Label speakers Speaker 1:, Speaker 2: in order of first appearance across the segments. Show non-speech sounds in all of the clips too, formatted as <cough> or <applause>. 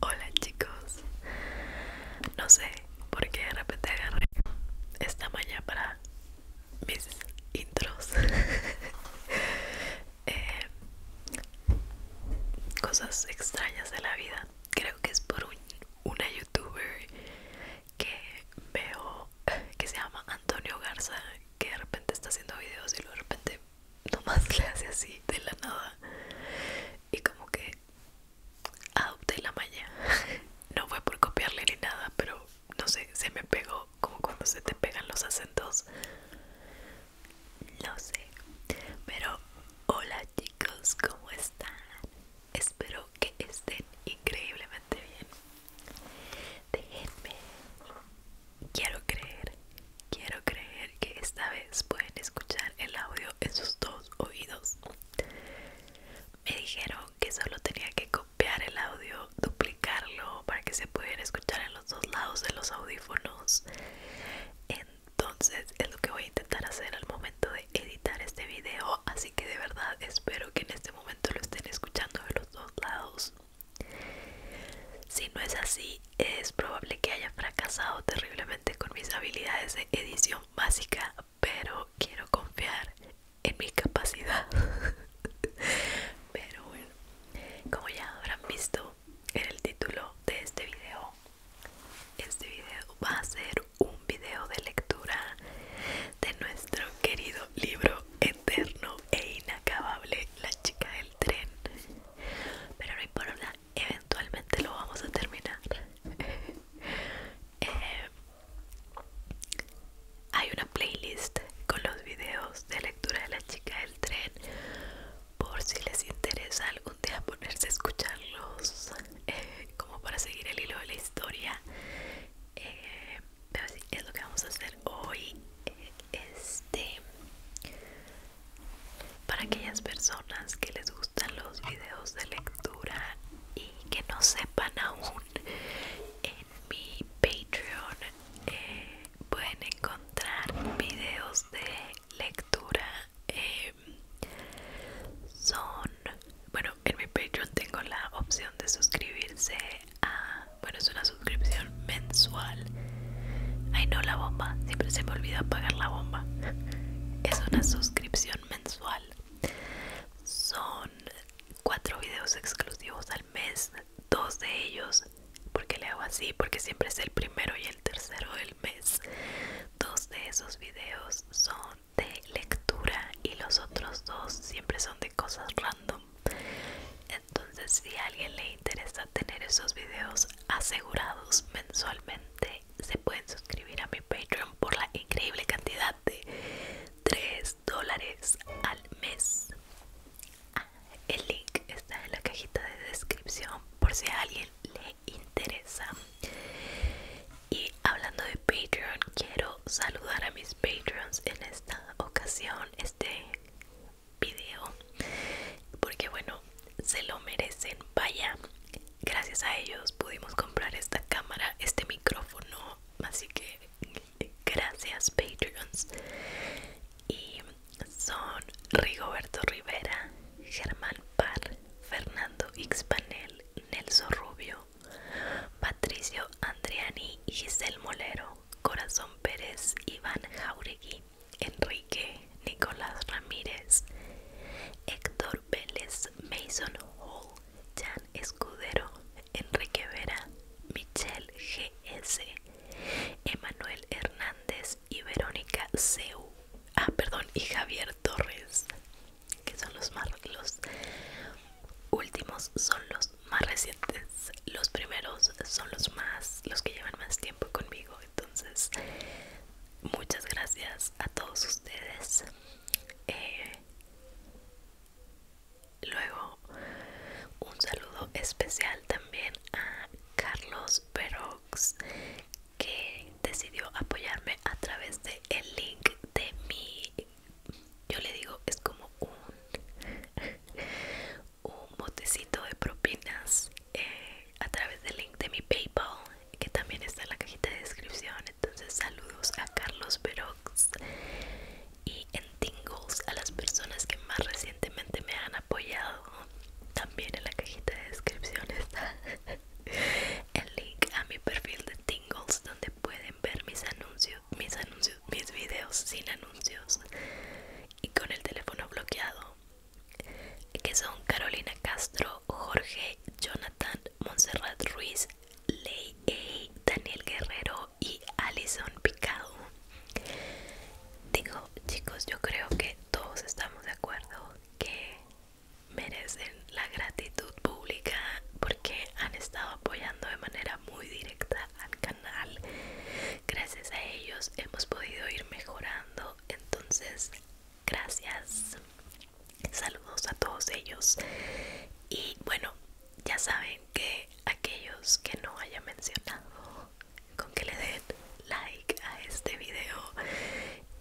Speaker 1: Hola chicos, no sé por qué de repente agarré esta mañana para mis intros <laughs> Eh, cosas extrañas de la vida. Creo que es por una youtuber que veo que se llama Antonio Garza, que de repente está haciendo videos y luego de repente nomás <laughs> le hace así de la nada. Y como que adopté la maña. <laughs> No fue por copiarle ni nada, pero no sé, se me pegó como cuando se te pegan los acentos. No sé. Pero hola chicos, ¿cómo están? Espero que estén increíblemente bien. Déjenme. Quiero creer, quiero creer que esta vez pueden escuchar el audio en sus dos oídos. Me dijeron que solo tenía que copiar el audio, duplicarlo para que se pudieran escuchar dos lados de los audífonos entonces es lo que voy a intentar hacer al momento de editar este vídeo así que de verdad espero que en este momento lo estén escuchando de los dos lados si no es así es probable que haya fracasado terriblemente con mis habilidades de edición básica pero quiero confiar en mi capacidad <laughs> pero bueno como ya habrán visto en el título de este video. Este video va a ser un video de lectura de nuestro querido libro eterno e inacabable, La chica del tren. Pero por importa, eventualmente lo vamos a terminar. <laughs> Eh, hay una playlist con los videos de lectura de la chica del tren por si les interesa algún día ponerse a escucharlos eh, como para seguir el hilo de la historia eh, pero sí, es lo que vamos a hacer hoy este para aquellas personas que les gustan los videos de lectura y que no sepan aún en mi Patreon eh, pueden encontrar videos de lectura eh, son bueno en mi Patreon tengo la opción de suscribirse a bueno es una suscripción mensual ay no la bomba siempre se me olvida pagar la bomba <laughs> es una suscripción mensual son cuatro videos exclusivos al mes dos de ellos, porque le hago así, porque siempre es el primero y el tercero del mes. Dos de esos videos son de lectura y los otros dos siempre son de cosas random. Entonces, si a alguien le interesa tener esos videos asegurados mensualmente, se pueden suscribir a mi Patreon por la increíble cantidad de 3 dólares al mes. Ah, el link está en la cajita de descripción por si a alguien le interesa. Y hablando de Patreon, quiero saludar a mis Patreons en esta ocasión, este video, porque bueno, se lo merecen. Vaya, gracias a ellos pudimos comprar esta cámara, este micrófono, así que Gracias, Patreons. Y son Rigoberto Rivera, Germán Parr Fernando Xpanel, Nelson Rubio, Patricio Andriani, Giselle Molero, Corazón Pérez, Iván Jauregui, Enrique, Nicolás Ramírez, Héctor Vélez, Mason Hall, Jan Escudero, Enrique Vera, Michelle GS, Emanuel Hernández y Verónica Seu. Ah, perdón, y Javier Torres, que son los más los últimos son los más recientes. Los primeros son los más los que llevan más tiempo conmigo, entonces muchas gracias a todos ustedes. Eh, Luego, un saludo especial también a Carlos Perox que decidió apoyarme a través de el link de mi yo le digo es como un <laughs> un botecito de propinas eh, a través del link de mi paypal que también está en la cajita de descripción entonces saludos a Carlos Perox y en Tingles a las personas que más recientemente me han apoyado. También en la cajita de descripción está <laughs> el link a mi perfil de Tingles donde pueden ver mis anuncios, mis anuncios, mis videos sin anuncios y con el teléfono bloqueado. Que son Carolina Castro, Jorge, Jonathan, Montserrat Ruiz, Ley y eh, Daniel Guerrero y Alison Picado. Digo, chicos, yo creo que todos estamos de acuerdo que merecen la gratitud pública porque han estado apoyando de manera muy directa al canal. Gracias a ellos hemos podido ir mejorando. Entonces, gracias. Saludos a todos ellos. Y bueno, ya saben que aquellos que no haya mencionado con que le den like a este video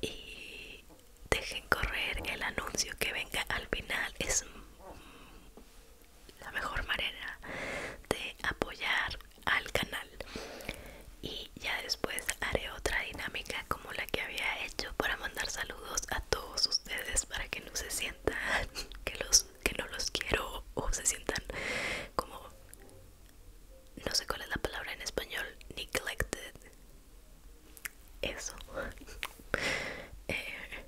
Speaker 1: y dejen correr el anuncio que venga al final es la mejor manera de apoyar al canal y ya después haré otra dinámica como la que había hecho para mandar saludos a todos ustedes para que no se sientan <laughs> que los que no los quiero o se sientan como no sé cuál es la palabra en español neglected eso <laughs> eh,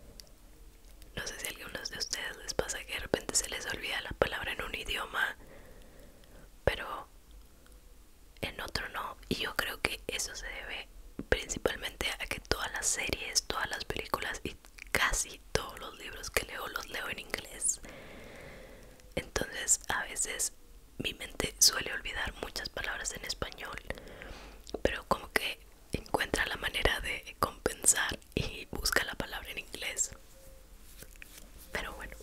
Speaker 1: no sé si a algunos de ustedes les pasa que de repente se les olvida la palabra en un idioma pero en otro no y yo creo que eso se debe principalmente a que todas las series todas las películas y casi todos los libros que leo los leo en inglés. Entonces a veces mi mente suele olvidar muchas palabras en español, pero como que encuentra la manera de compensar y busca la palabra en inglés. Pero bueno,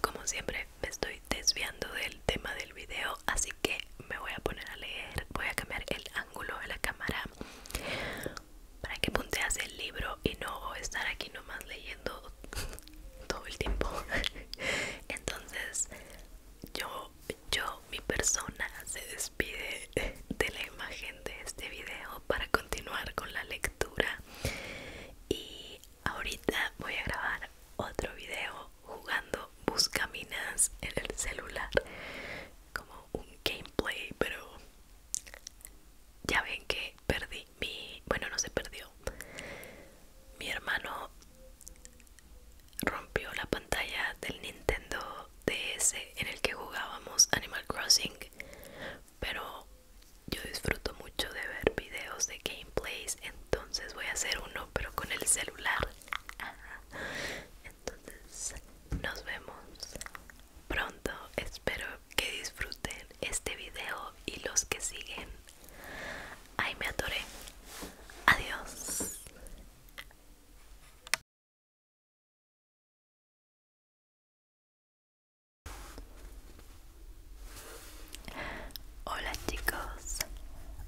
Speaker 1: como siempre me estoy desviando del tema del video, así que me voy a poner a leer, voy a cambiar el ángulo de la cámara para que punteas el libro y no estar aquí nomás leyendo <laughs> todo el tiempo <laughs> entonces yo yo mi persona se despide de la imagen de este video para continuar con la lectura y ahorita voy a grabar otro video jugando buscaminas en el celular como un gameplay pero ya ven que perdí mi bueno no se perdió mi hermano rompió la pantalla del Nintendo DS en el que jugábamos Animal Crossing pero yo disfruto mucho de ver videos de gameplays entonces voy a hacer uno pero con el celular entonces nos vemos pronto espero que disfruten este video y los que siguen Ay me adoré adiós Hola chicos,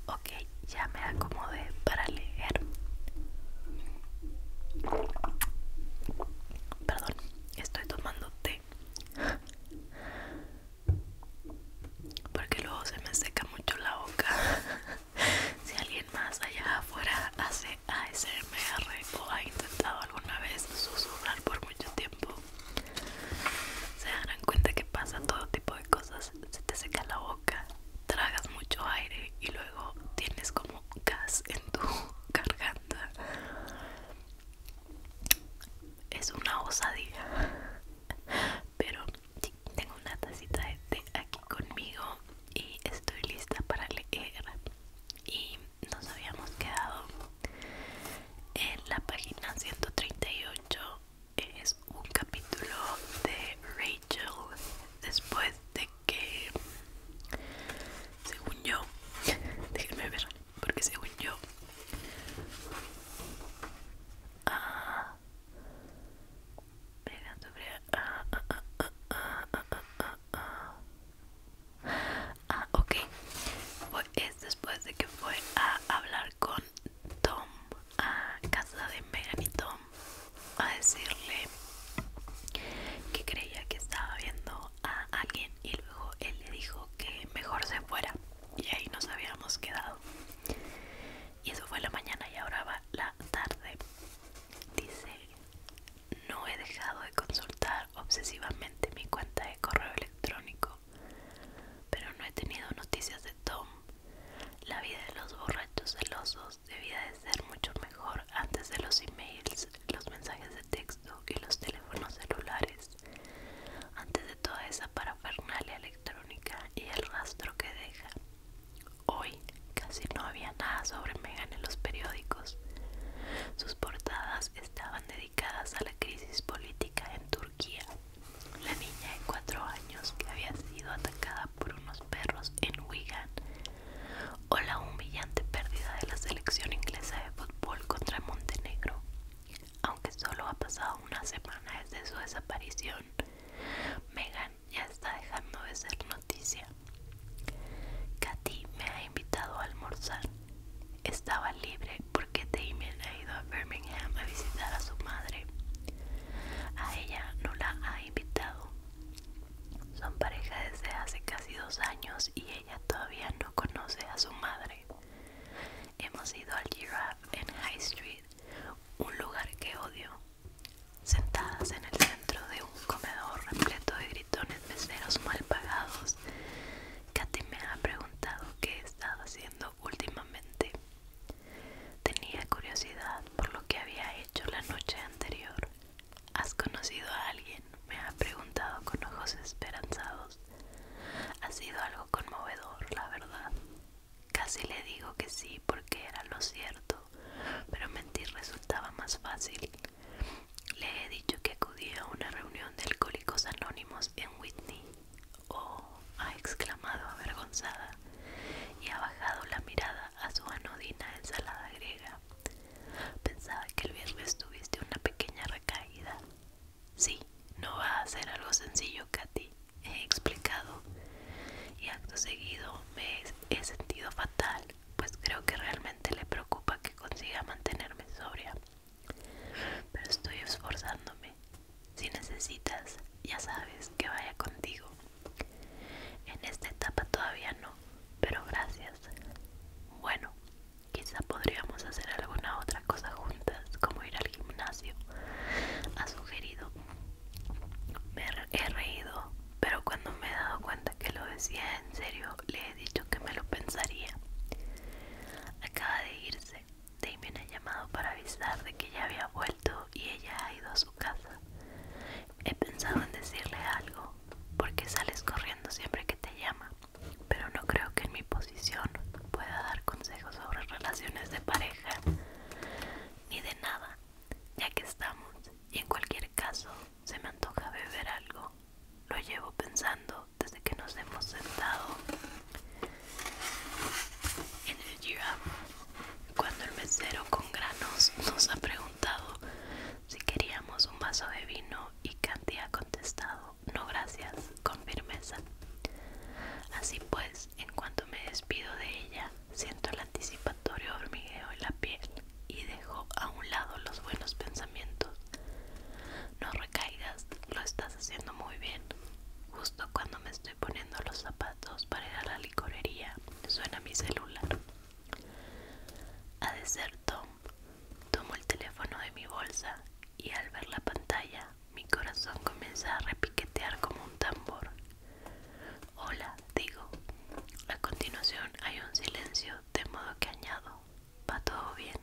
Speaker 1: Ok, ya me acomodé para leer. Perdón, estoy tomando té. Porque luego se me seca mucho la boca. <laughs> si alguien más allá afuera hace ASMR o ha intentado alguna vez susurrar por mucho tiempo, se darán cuenta que pasa todo tipo de cosas. Se te seca la boca tragas mucho aire y luego tienes como gas en tu <laughs> garganta. Es una osadía. Pero tengo una tacita de té aquí conmigo y estoy lista para leer. Y nos habíamos quedado en la página 138 es un capítulo de Rachel después de que según yo <laughs> déjenme ver porque según yo ah, ah, ah, ah, ah, ah, ah, ah, ah. Ah, ok. es después de que fue a hablar con Tom a casa de Megan y Tom a decirle que creía que estaba viendo a alguien y luego él le dijo que mejor se fuera y ahí nos habíamos quedado y eso fue la mañana y ahora va la tarde dice no he dejado de consultar obsesivamente mi cuenta de correo electrónico pero no he tenido noticias de Tom la vida de los borrachos celosos debía de ser mucho mejor antes de los emails, los mensajes de texto y los teléfonos celulares, antes de toda esa parafernalia electrónica y el rastro que deja. Hoy casi no había nada sobre Meghan en los periódicos. Sus portadas estaban dedicadas a la crisis política en Turquía la niña de cuatro años que había sido atacada por unos perros en Wigan o la humillante pérdida de la selección inglesa de fútbol contra Montenegro. Aunque solo ha pasado una semana desde su desaparición, Megan ya está dejando de ser noticia. Katy me ha invitado a almorzar. Estaba libre porque Damien ha ido a Birmingham a visitar a su madre. A ella no la ha invitado. Son pareja desde hace casi dos años y ella todavía no conoce a su madre. Hemos ido al Giraffe en High Street, un lugar que odio. Sentadas en el centro de un comedor repleto de gritones meseros mal pagados, Katy me ha preguntado qué he estado haciendo últimamente. Tenía curiosidad por lo que había hecho la noche anterior. ¿Has conocido a alguien? Me ha preguntado con ojos esperanzados. Ha sido algo conmovedor, la verdad. Casi le digo que sí porque era lo cierto, pero mentir resultaba más fácil. Le he dicho que acudía a una reunión de alcohólicos anónimos en Whitney Oh, ha exclamado avergonzada y ha bajado la mirada a su anodina ensalada griega. Pensaba que el viernes tuviste una pequeña recaída. Sí, no va a ser algo sencillo, Katy, he explicado. Y acto seguido me he sentido fatal, pues creo que realmente le preocupa que consiga mantenerme sobria. Pero estoy esforzándome si necesitas, ya sabes que vaya contigo. En esta etapa todavía no, pero gracias. Bueno, quizá podríamos hacer alguna otra cosa juntas, como ir al gimnasio. Ha sugerido. Me he reído, pero cuando me he dado cuenta que lo decía en serio, le he dicho que me lo pensaría. Acaba de irse Damien ha llamado para avisar de que ya había vuelto y ella ha ido a su casa. He pensado en decirle algo, porque sales corriendo siempre que te llama, pero no creo que en mi posición pueda dar consejos sobre relaciones de pareja, ni de nada, ya que estamos, y en cualquier caso se me antoja beber algo. Lo llevo pensando desde que nos hemos sentado en el cuando el mesero con granos nos ha preguntado si queríamos un vaso de vino y Candy ha contestado no gracias con firmeza. Así pues, en cuanto me despido de ella, siento el anticipatorio hormigueo en la piel y dejo a un lado los buenos pensamientos. No recaigas, lo estás haciendo muy bien. Justo cuando me estoy poniendo los zapatos para ir a la licorería, suena mi celular. Ha de ser Tom, tomo el teléfono de mi bolsa y al ver la pantalla, mi corazón comienza a repiquetear como un tambor. Hola, digo. A continuación hay un silencio, de modo que añado, va todo bien.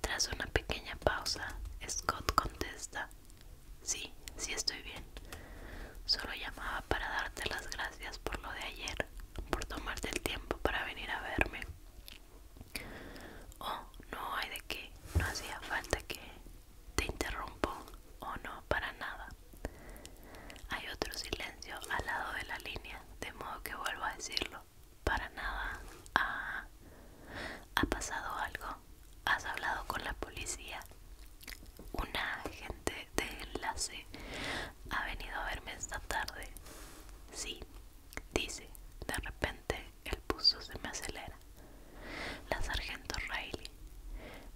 Speaker 1: Tras una pequeña pausa, Scott contesta, sí, sí estoy bien. Solo llamaba para darte las gracias por lo de ayer, por tomarte el tiempo para venir a verme. Oh, no hay de qué, no hacía falta que te interrumpo, o oh, no, para nada. Hay otro silencio al lado de la línea, de modo que vuelvo a decirlo para nada. ¿Ha, pasado algo? ¿Has hablado con la policía? Una agente de enlace ha venido a verme esta tarde. Sí, dice. De repente el pulso se me acelera. La sargento Riley.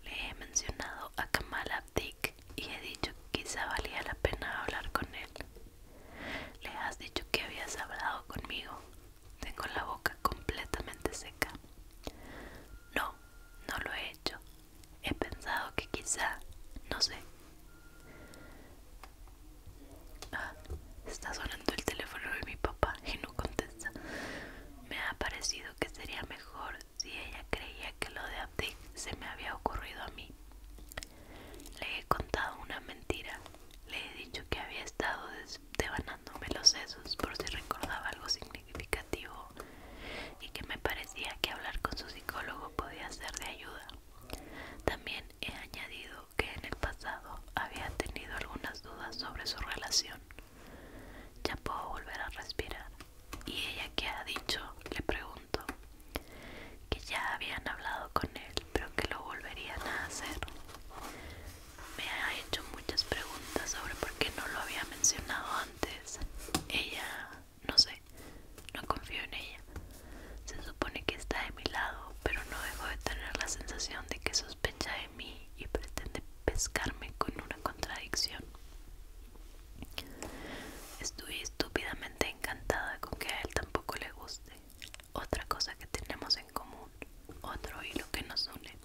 Speaker 1: Le he mencionado a Kamala Dick y he dicho que quizá valía la pena hablar con él. Le has dicho que habías hablado conmigo. Tengo la boca completamente seca. No, no lo he hecho. He pensado que quizá, no sé. Ah, está sonando el teléfono de mi papá y no contesta. Me ha parecido que sería mejor si ella creía que lo de Abdic se me había ocurrido a mí. Le he contado una mentira. Le he dicho que había estado devanándome los sesos por si recordaba algo significativo y que me parecía que hablar con su psicólogo podía ser de ayuda. También he añadido que en el pasado había tenido algunas dudas sobre su relación. Ya puedo volver a respirar. ¿Y ella que ha dicho? Le pregunto que ya habían hablado con él, pero que lo volverían a hacer. Me ha hecho muchas preguntas sobre por qué no lo había mencionado antes. Ella, no sé, no confío en ella. Se supone que está de mi lado, pero no dejo de tener la sensación de que sospecha de mí y pretende pescarme con una contradicción. Estoy estúpidamente encantada con que a él tampoco le guste otra cosa que tenemos en común, otro hilo que nos une.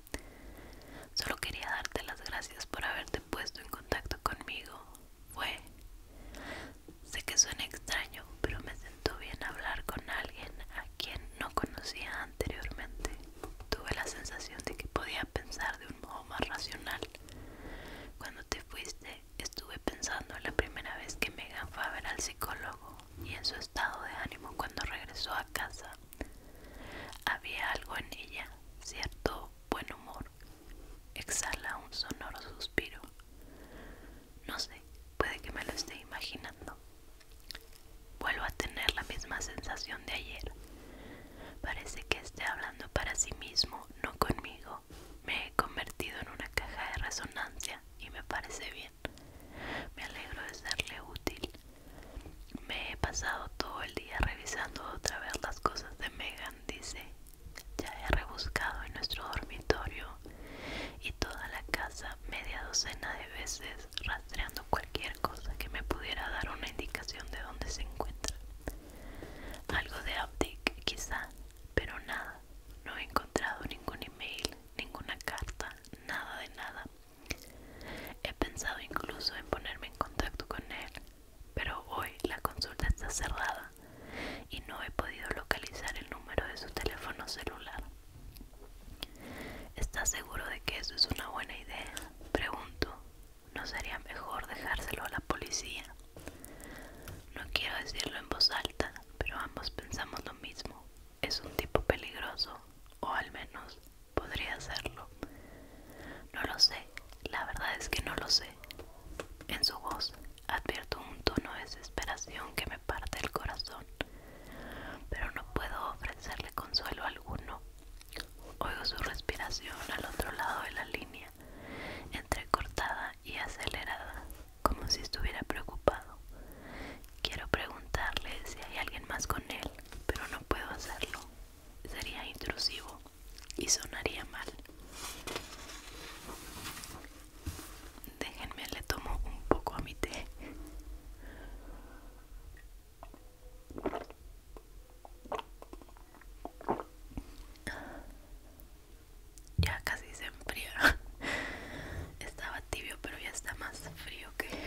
Speaker 1: Solo quería darte las gracias por haberte puesto en contacto conmigo. Fue. Sé que suena extraño, pero me sentó bien hablar con alguien a quien no conocía anteriormente. Tuve la sensación de que podía pensar de un modo más racional. Cuando te fuiste Estuve pensando en la primera vez que Megan fue a ver al psicólogo y en su estado de ánimo cuando regresó a casa. Había algo en ella, cierto buen humor. Exhala un sonoro suspiro. No sé, puede que me lo esté imaginando. Vuelvo a tener la misma sensación de ayer. Parece que esté hablando para sí mismo, no conmigo me he convertido en una caja de resonancia y me parece bien. Me alegro de serle útil. Me he pasado todo el día revisando otra vez las cosas de Megan, dice. Ya he rebuscado en nuestro dormitorio y toda la casa media docena de veces rastreando cualquier cosa que me pudiera dar una indicación de dónde se encuentra. Algo de update, quizá, pero nada. No he encontrado ningún email, ninguna carta, nada de nada. He pensado incluso en ponerme en contacto con él, pero hoy la consulta está cerrada y no he podido localizar el número de su teléfono celular. ¿Estás seguro de que eso es una buena idea? Pregunto. ¿No sería mejor dejárselo a la policía? No quiero decirlo en voz alta, pero ambos pensamos lo mismo. Es un tipo peligroso, o al menos podría serlo. No lo sé, la verdad es que no lo sé. En su voz advierto un tono de desesperación que me parte el corazón, pero no puedo ofrecerle consuelo alguno. Oigo su respiración al otro lado de la línea entrecortada y acelerada, como si estuviera preocupado. Quiero preguntarle si hay alguien más con él, pero no puedo hacerlo. Sería intrusivo y sonaría mal. Déjenme, le tomo un poco a mi té ya casi se enfría <laughs> estaba tibio pero ya está más frío que,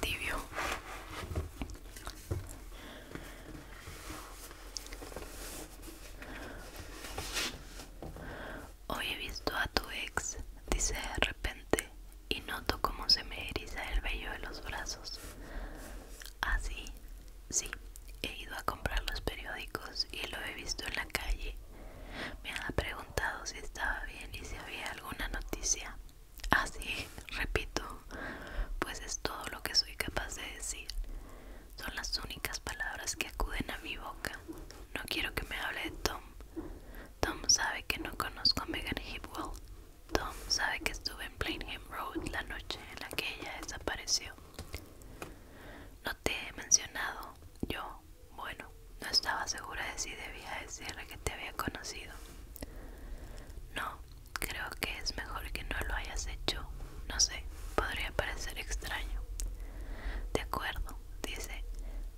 Speaker 1: tibio hoy he visto a tu ex dice de repente y noto como se me eriza el vello de los brazos así ¿Ah, Sí, he ido a comprar los periódicos y lo he visto en la calle. Me ha preguntado si estaba bien y si había alguna noticia. Así, ah, <laughs> repito, pues es todo lo que soy capaz de decir. Son las únicas palabras que acuden a mi boca. No quiero que me hable de Tom. Tom sabe que no conozco a Megan Hipwell. Tom sabe que estuve en Plainham Road la noche en la que ella desapareció. No te he mencionado, yo, bueno, no estaba segura de si debía decirle que te había conocido. No, creo que es mejor que no lo hayas hecho. No sé, podría parecer extraño. De acuerdo, dice.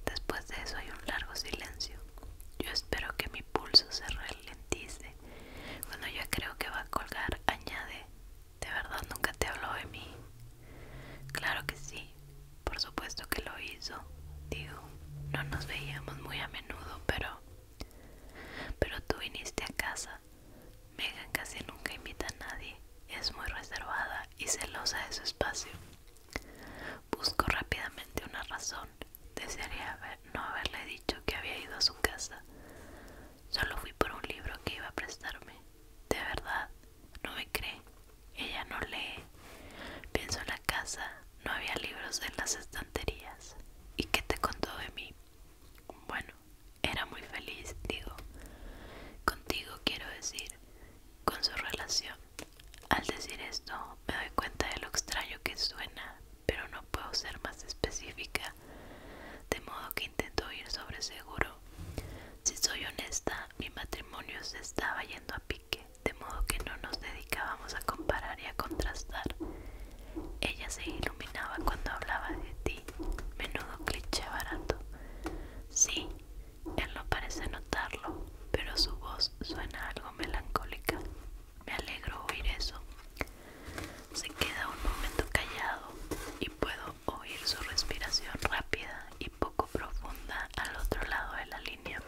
Speaker 1: Después de eso hay un largo silencio. Yo espero que mi pulso se ralentice. Cuando yo creo que va a colgar, añade, ¿De verdad nunca te habló de mí? Claro que sí, por supuesto que lo hizo. Digo, no nos veíamos muy a menudo, pero... Pero tú viniste a casa. Megan casi nunca invita a nadie. Es muy reservada y celosa de su espacio. Busco rápidamente una razón. Desearía no haberle dicho que había ido a su casa. Solo fui por un libro que iba a prestarme. De verdad, no me cree. Ella no lee. Pienso en la casa. No había libros en las estanterías. ¿Y qué te contó de mí? Bueno, era muy feliz, digo. Contigo quiero decir, con su relación. Al decir esto, me doy cuenta de lo extraño que suena, pero no puedo ser más específica de modo que intento ir sobre seguro. Si soy honesta, mi matrimonio se estaba yendo a pique, de modo que no nos dedicábamos a comparar y a contrastar. Ella se iluminaba cuando hablaba de ti, menudo cliché barato. Sí, él no parece notarlo, pero su voz suena algo melancólica. Me alegro oír eso. Se queda un momento callado y puedo oír su respiración rápida y poco profunda al otro lado de la línea.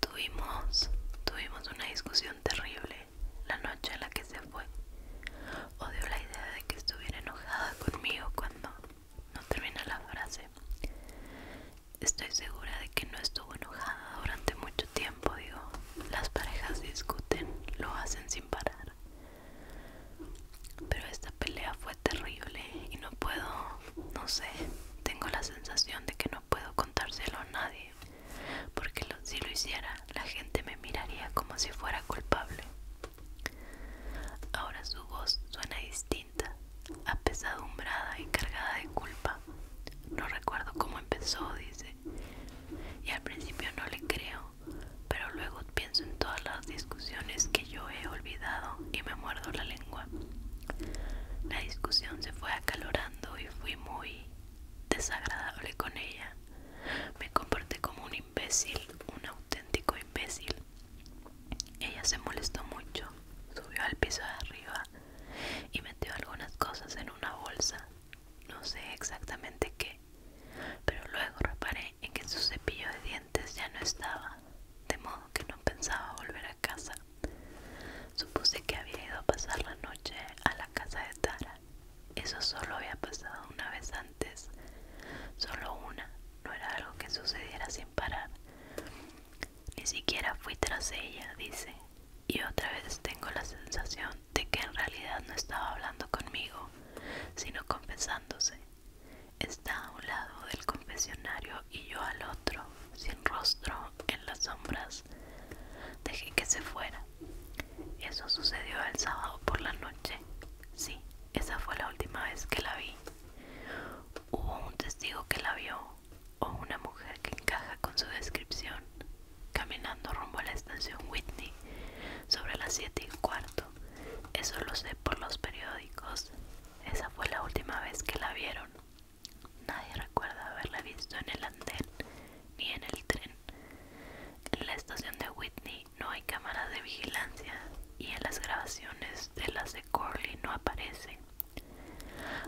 Speaker 1: Tuvimos, tuvimos una discusión terrible la noche en la que se fue. Odio la idea de que estuviera enojada conmigo cuando no termina la frase. Estoy segura de que no estuvo enojada durante mucho tiempo, digo, las parejas discuten, lo hacen sin parar. Pero esta pelea fue terrible y no puedo, no sé, tengo la sensación de que no puedo contárselo a nadie, porque si lo hiciera, la gente me miraría como si fuera culpable. Ahora su voz suena distinta, apesadumbrada y cargada de culpa. No recuerdo cómo empezó, dice, y al principio no le creo, pero luego pienso en todas las discusiones que yo he olvidado y me muerdo la lengua. La discusión se fue acalorando y fui muy desagradable con ella. Me comporté como un imbécil, un auténtico imbécil. Ella se molestó mucho, subió al piso de arriba y metió algunas cosas en una bolsa no sé exactamente qué, pero luego reparé en que su cepillo de dientes ya no estaba, de modo que no pensaba volver a casa. Supuse que había ido a pasar la noche a la casa de Tara. Eso solo había pasado una vez antes, solo una, no era algo que sucediera sin parar. Ni siquiera fui tras ella, dice, y otra vez tengo la sensación de que en realidad no estaba hablando conmigo, sino confesándose. Está a un lado del confesionario y yo al otro, sin rostro, en las sombras. Dejé que se fuera. Eso sucedió el sábado por la noche. Sí, esa fue la última vez que la vi. Hubo un testigo que la vio, o una mujer que encaja con su descripción caminando rumbo a la estación Whitney sobre las 7 y cuarto. Eso lo sé por los periódicos. Esa fue la última vez que la vieron. Nadie recuerda haberla visto en el andén ni en el tren. En la estación de Whitney no hay cámaras de vigilancia y en las grabaciones de las de Corley no aparecen.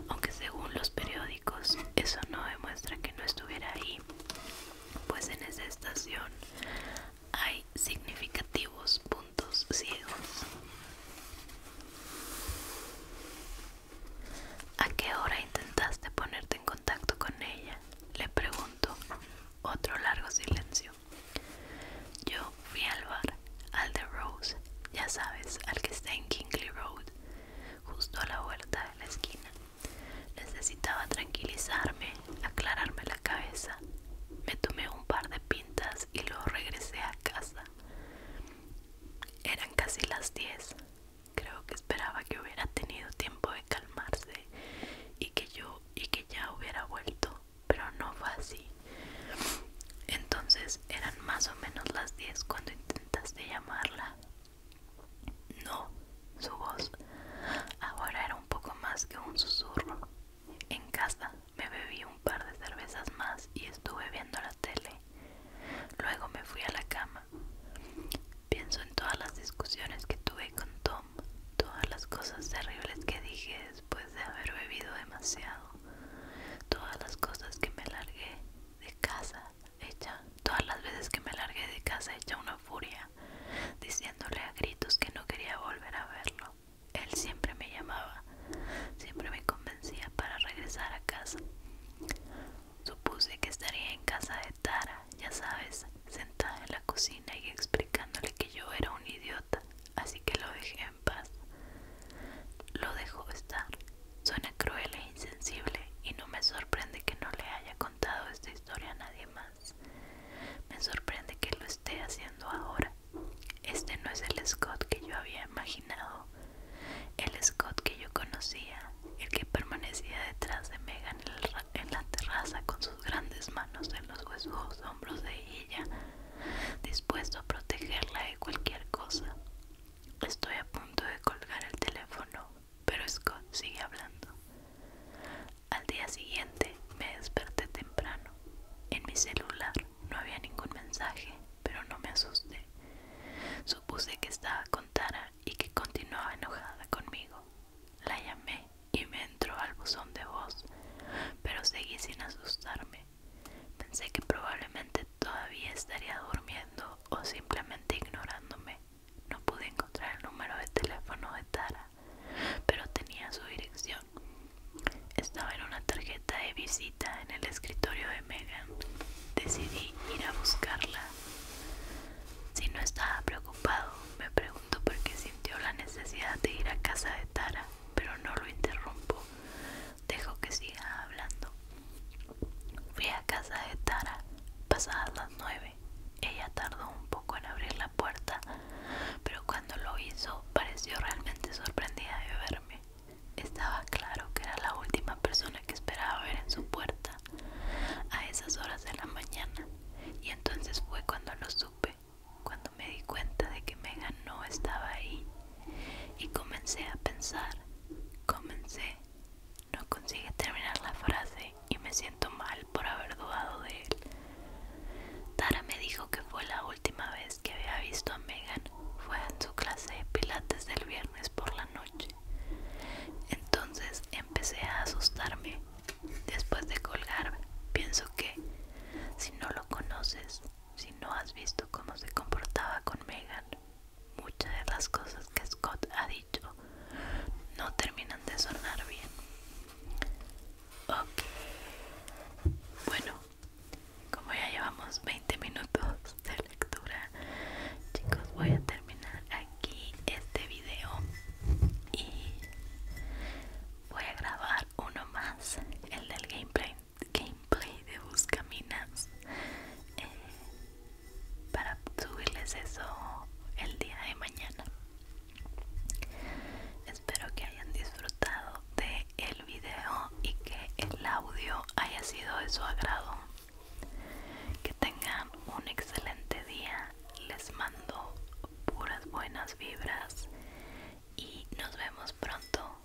Speaker 1: Aunque según los periódicos eso no demuestra que no estuviera ahí pues en esa estación hay significativos puntos ciegos ¿A qué hora intentaste ponerte en contacto con ella? Le pregunto. Otro largo silencio. Yo fui al bar, al de Rose, ya sabes, al que está en Kingley Road, justo a la vuelta de la esquina. Necesitaba tranquilizarme, aclararme la cabeza. Me tomé un par de pintas y luego regresé a casa. Eran casi las 10. Creo que esperaba que hubiera tenido tiempo de calmarse y que yo y que ya hubiera vuelto, pero no fue así. Entonces eran más o menos las 10 cuando intentaste llamarla. No, su voz ahora era un poco más que un susurro. En casa me bebí un par de cervezas más y estuve viendo la tele. Luego me fui a la cama. Pienso en todas las discusiones que tuve con Tom, todas las cosas terribles que dije después de haber bebido demasiado, todas las cosas que me largué de casa ella, todas las veces que me largué de casa hecha una furia, diciéndole a gritos que no quería volver a verlo. Él siempre me llamaba, siempre me convencía para regresar a casa. Supuse que estaría en casa de Tara, ya sabes, sentada en la cocina y explicándole que yo era un idiota, así que lo dejé en paz. Lo dejó estar. Suena cruel e insensible y no me sorprende que no le haya contado esta historia a nadie más. Me sorprende que lo esté haciendo ahora. Este no es el Scott que yo había imaginado. El Scott que yo conocía, el que permanecía detrás de Megan en, la terraza con sus grandes manos en los huesos hombros de ella, dispuesto a protegerla de cualquier cosa. Estoy a punto de colgar el teléfono, pero Scott sigue hablando. Al día siguiente me desperté temprano. En mi celular no había ningún mensaje, pero no me asusté. Supuse que estaba con Tara y que continuaba enojada conmigo. La llamé y me entró al buzón de voz, pero seguí sin asustarme. Pensé que probablemente todavía estaría durmiendo o simplemente ignorándome. No pude encontrar el número de teléfono de Tara, pero tenía su dirección. Estaba en una tarjeta de visita en el escritorio de Megan. Decidí ir a buscarla. Si no estaba preocupado, me pregunto por qué sintió la necesidad de ir a casa de Tara, pero no lo interrumpo. Dejo que siga hablando. Fui a casa de Tara, pasadas las 9 Ella tardó un poco en abrir la puerta, pero cuando lo hizo pareció realmente sorprendida de verme. Estaba claro que era la última persona que esperaba ver en su puerta a esas horas de la mañana. Y entonces fue cuando lo supe, cuando me di cuenta de que Megan no estaba ahí. Y comencé a pensar, comencé no consigue terminar la frase y me siento mal por haber dudado de él. Tara me dijo que fue la última vez que había visto a Megan fue en su clase de pilates del viernes por la noche. Entonces empecé a asustarme. Después de colgar, pienso que si no lo conoces, si no has visto cómo se comportaba con Megan, Muchas de las cosas que Scott ha dicho no terminan de sonar bien. Ok. Bueno, como ya llevamos 20 minutos de lectura, chicos, voy a terminar aquí este video y voy a grabar uno más, el del gameplay gameplay de Buscaminas eh, para subirles eso el día de mañana. Espero que hayan disfrutado de el video y que el audio haya sido de su agrado. Que tengan un excelente día. Les mando puras buenas vibras y nos vemos pronto.